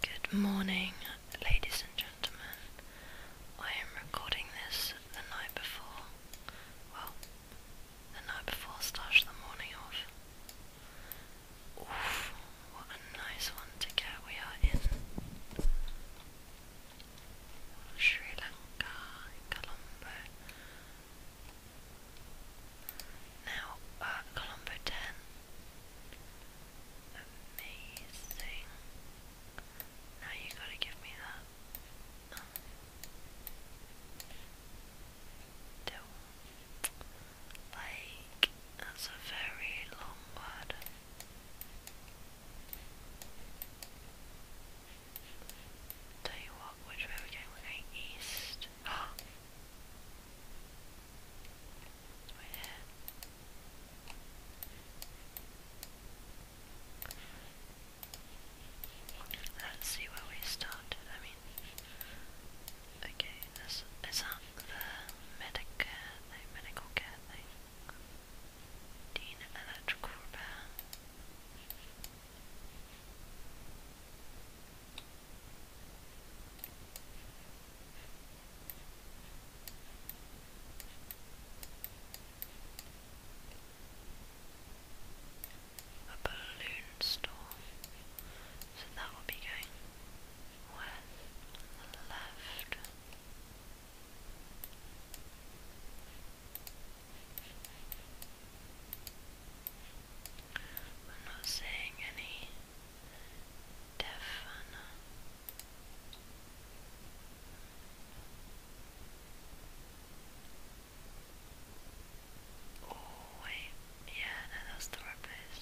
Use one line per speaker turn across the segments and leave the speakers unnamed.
Good morning, ladies and gentlemen. I am recording this the night before. Well, the night before slash the morning of. Oof, what a nice one to get. We are in Sri Lanka, Colombo. Now, uh, Colombo 10 Amazing. Now you gotta give me that. do. Like, that's a very long word. Tell you what, which way we going? we going east. Let's see where we start. I mean, okay, this is that the Medicare, the medical care thing. Dean Electrical Repair. A balloon store. So that will be going west and the left. I'm not saying any defana. Oh wait, yeah, no, that's the right place.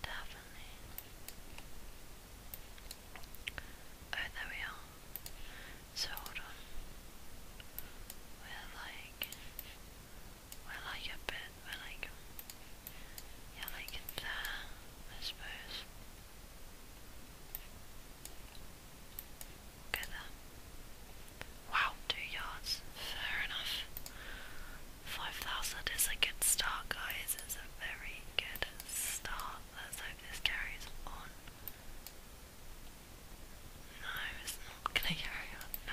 Definitely. Oh, there we are. So hold on. We're like I like it a I like Yeah, I like there, uh, I suppose. Okay there. Uh, wow, two yards. Fair enough. 5,000 is a good start, guys. It's a very good start. Let's hope this carries on. No, it's not gonna carry on. I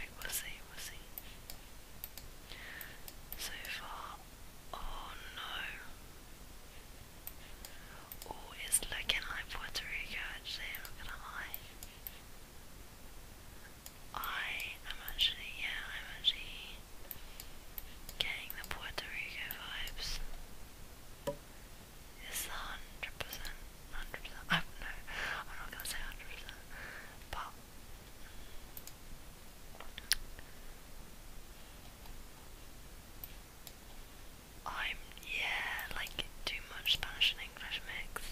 wait, we'll see, we'll see. So far, oh no. Oh, it's looking like Puerto Rico am I am actually, yeah, I'm actually getting the Puerto Rico vibes is 100%, 100%, I don't know, I'm not i am not going to say 100%, but I'm, yeah, like too much Spanish and English mix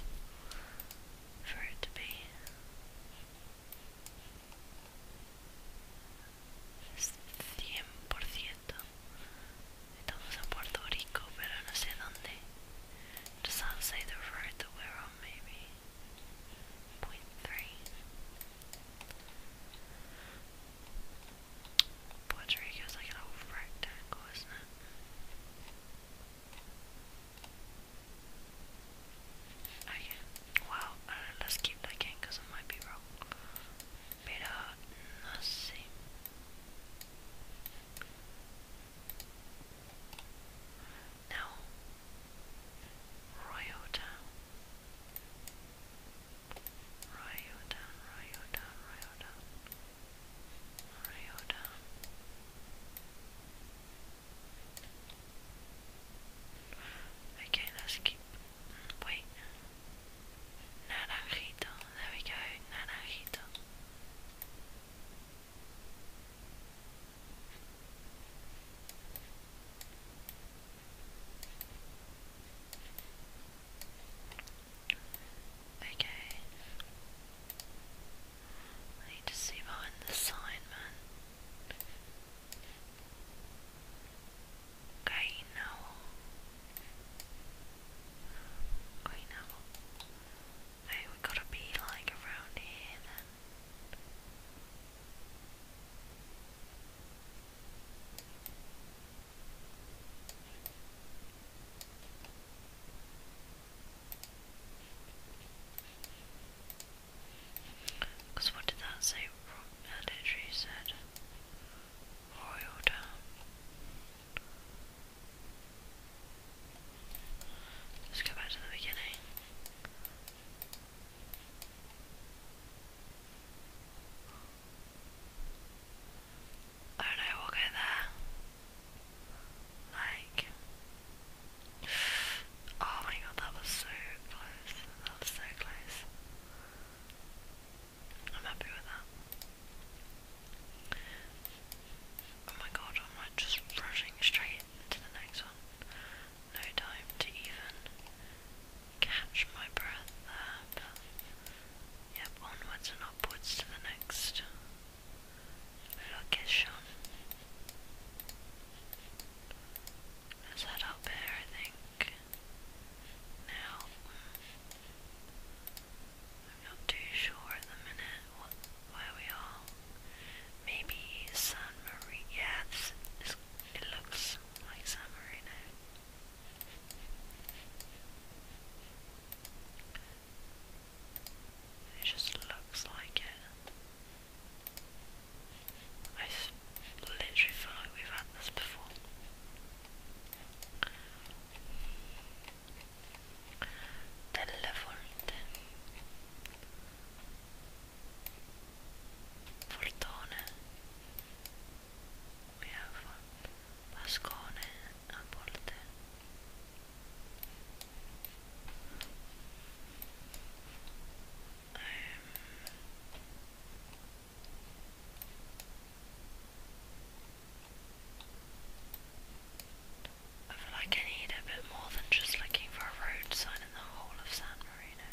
for it to be. Es 100%. Estamos en Puerto Rico, pero no sé dónde. Just outside the road that we're on, maybe. Puerto Rico is like an old rectangle, isn't it? Okay. Ah, wow. I let's keep looking because I might be wrong. Pero no sé. Now, Royota, Royota, Royota, Royota, Royota. Okay, let's keep Wait. Naranjito. There we go. Naranjito. Okay. I need to see behind the sign, man. Kainao. Kainao. Hey, we gotta be like around here then. Because what did that say? That uh, literally said Royal Down. Let's go back to the beginning. I know, we'll go there. Like, oh my god, that was so close. That was so close. I'm happy with that. Oh my god, I'm just rushing straight into the next one. No time to even catch my breath there, yep, onwards and upwards to the next location. Let's head up here, I think now. I'm not too sure at the minute where we are. Maybe San Marino. Yeah, this, it looks like San Marino. It just looks like it. I literally feel like we've had this before. Telefonte. Fortone. We have Pascone I feel like I need a bit more than just looking for a road sign in the whole of San Marino.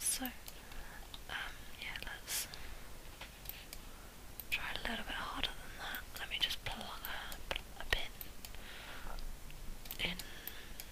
So, um, yeah, let's try a little bit harder than that. Let me just plug a, a in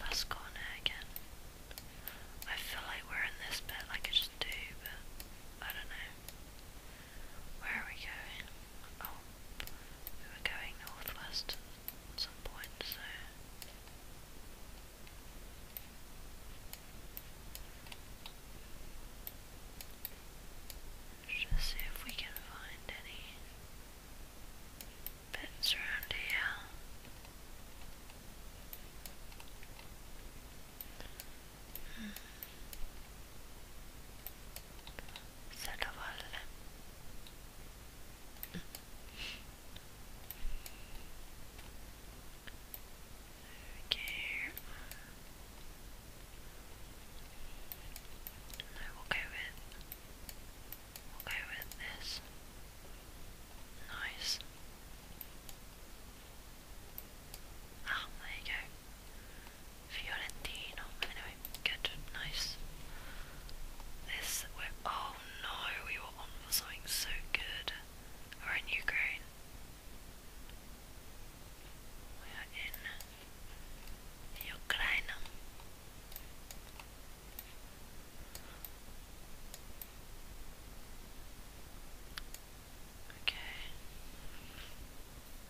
Mask on it again. I feel like we're in this bit like I just do, but I don't know. Where are we going? Oh, we were going northwest at some point, so. Just see if we can find any bits around here. Hmm. Set up all hmm. Okay. No, will go with we'll go with this. Nice. Ah, there you go. Fiorentino. Anyway, good, nice. This oh no, we were on for something so good. are in Ukraine. We are in Ukraine. Okay.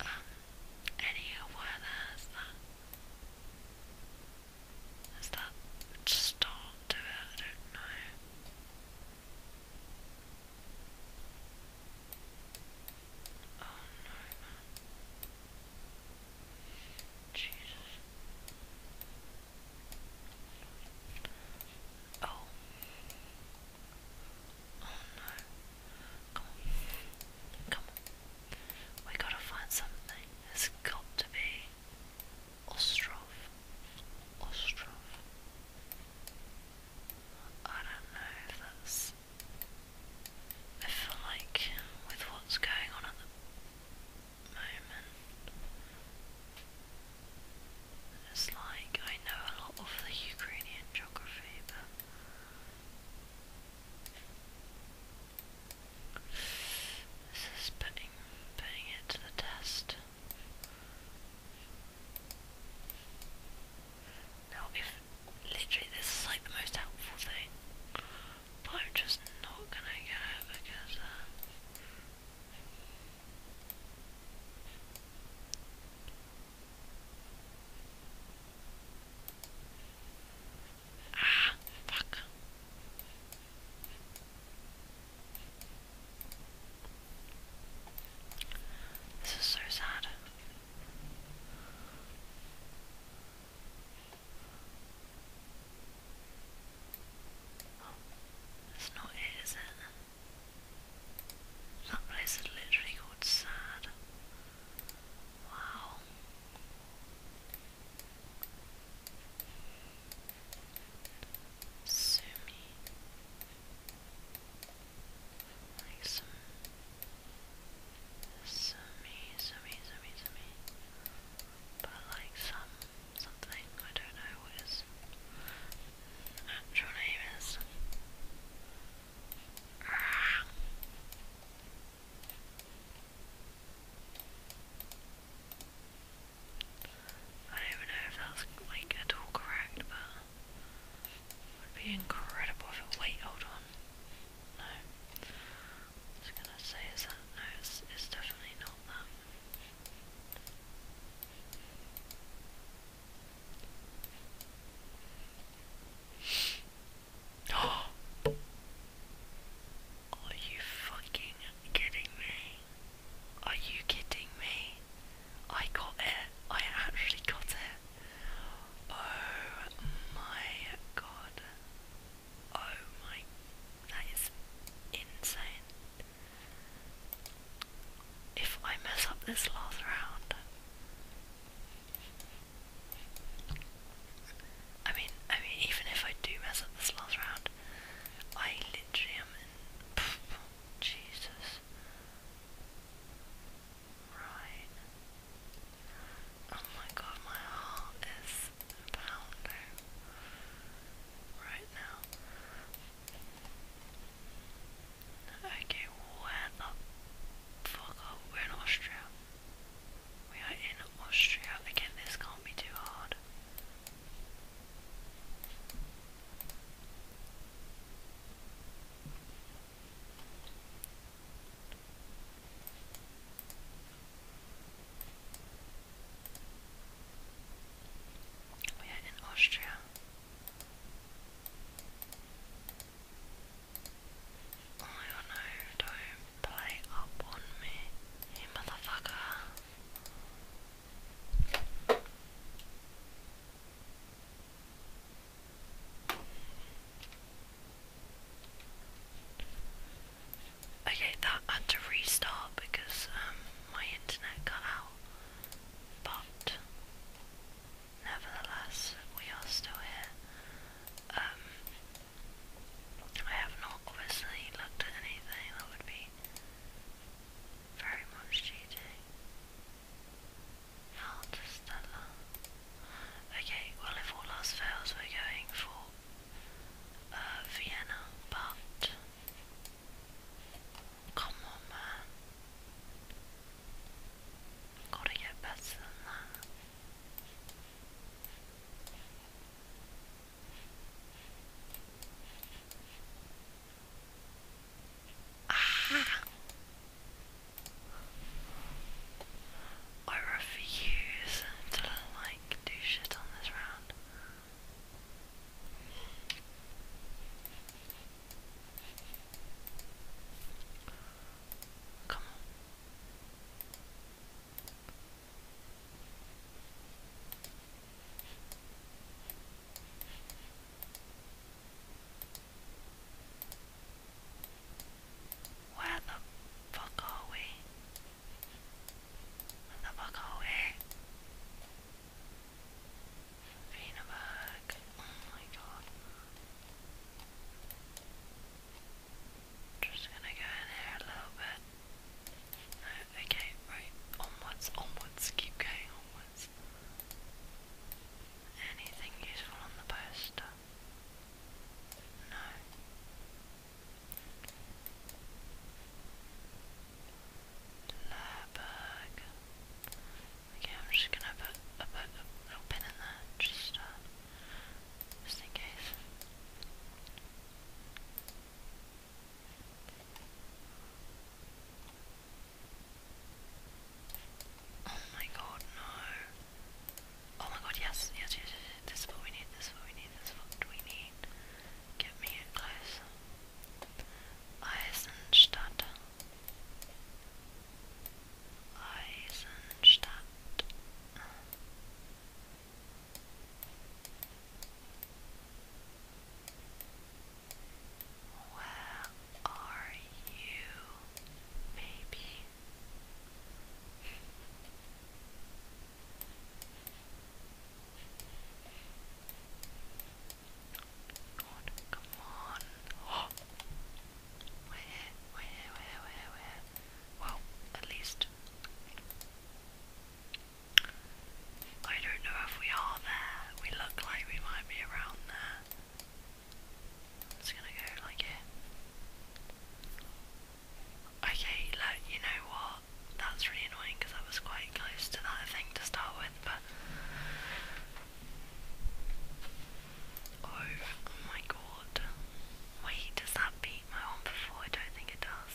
Um, any weather is that storm I don't know. Oh no, Jesus. Oh. Oh no. Come on. Come on. We gotta find something. It's got to be Ostrov. Ostrov. I don't know if that's. I feel like with what's going on at the moment, it's like I know a lot of the Ukrainian geography, but. This is putting, putting it to the test. Now, if literally this is like the most helpful thing, but I'm just not gonna get it because. Uh, Ah, fuck. This is so sad. that's oh, not it, is it? That place is literally called Sad. Wow. Sumi. Like some summy, summy, summy, summy. But like some something, I don't know what his actual name is. I don't know if that's like at all correct, but would be incredible if it. Wait, hold on. No. I was gonna say, is that. No, it's, it's definitely not that. Are you fucking kidding me? Are you kidding me? I got it. I actually got it. Oh my god. Oh my. That is insane. If I mess up this last round. I mean, I mean, even if I do mess up this last round, I literally am Jesus. Right. Oh my god, my heart is pounding right now. Okay, where the fuck We're in Austria. We are in Austria. Again, this can't be too hard. We are in Austria. Oh no, don't play up on me, you motherfucker. Okay, that had to restart because um, my internet cut out, but nevertheless, we are still here. Um, I have not obviously looked at anything that would be very much cheating. How Okay, well if all else fails we're going for uh, Vienna, but come on man. Gotta get better than that. Ah. I refuse to like do shit on this round. Come on. Where the fuck are we? Where the fuck are we? Wienerberg, oh my god. Just gonna go in here a little bit. Uh, okay, right, onwards, onwards, keep going onwards. Anything useful on the poster? No. Lurberg. Okay, I'm just gonna put, a little pin in there, just, uh, just in case. Oh my god, no. Oh my god, yes, yes, yes, yes, yes. This is what we need, this is what we need, this is what we need. Get me in close. Eisenstadt. Eisenstadt. Where are you, baby? come on. Oh. We're here, we're here, Well, at least. I don't know if we are there. We look like we might be around there. i gonna go like here. Okay, look, you know what? That's really annoying because that was quite close to that thing to start with, but. Oh my god. Wait, does that beat my one before? I don't think it does.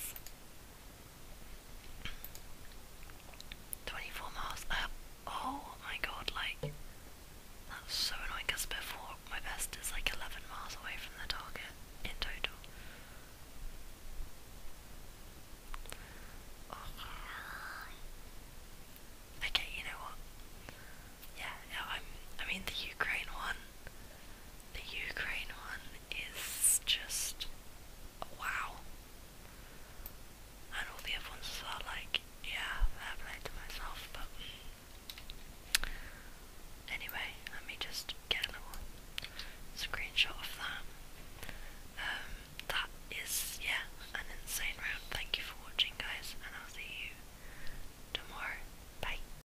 24 miles Oh my god, like, that's so annoying because before my best is like 11 miles away from the target in total. Okay, you know what? Yeah, no, I'm, I mean, the Ukraine one. The Ukraine one is just wow. And all the other ones are like, yeah, fair play to myself, but anyway, let me just get a little screenshot of that. Um, that is, yeah, an insane round. Thank you for watching, guys, and I'll see you tomorrow. Bye.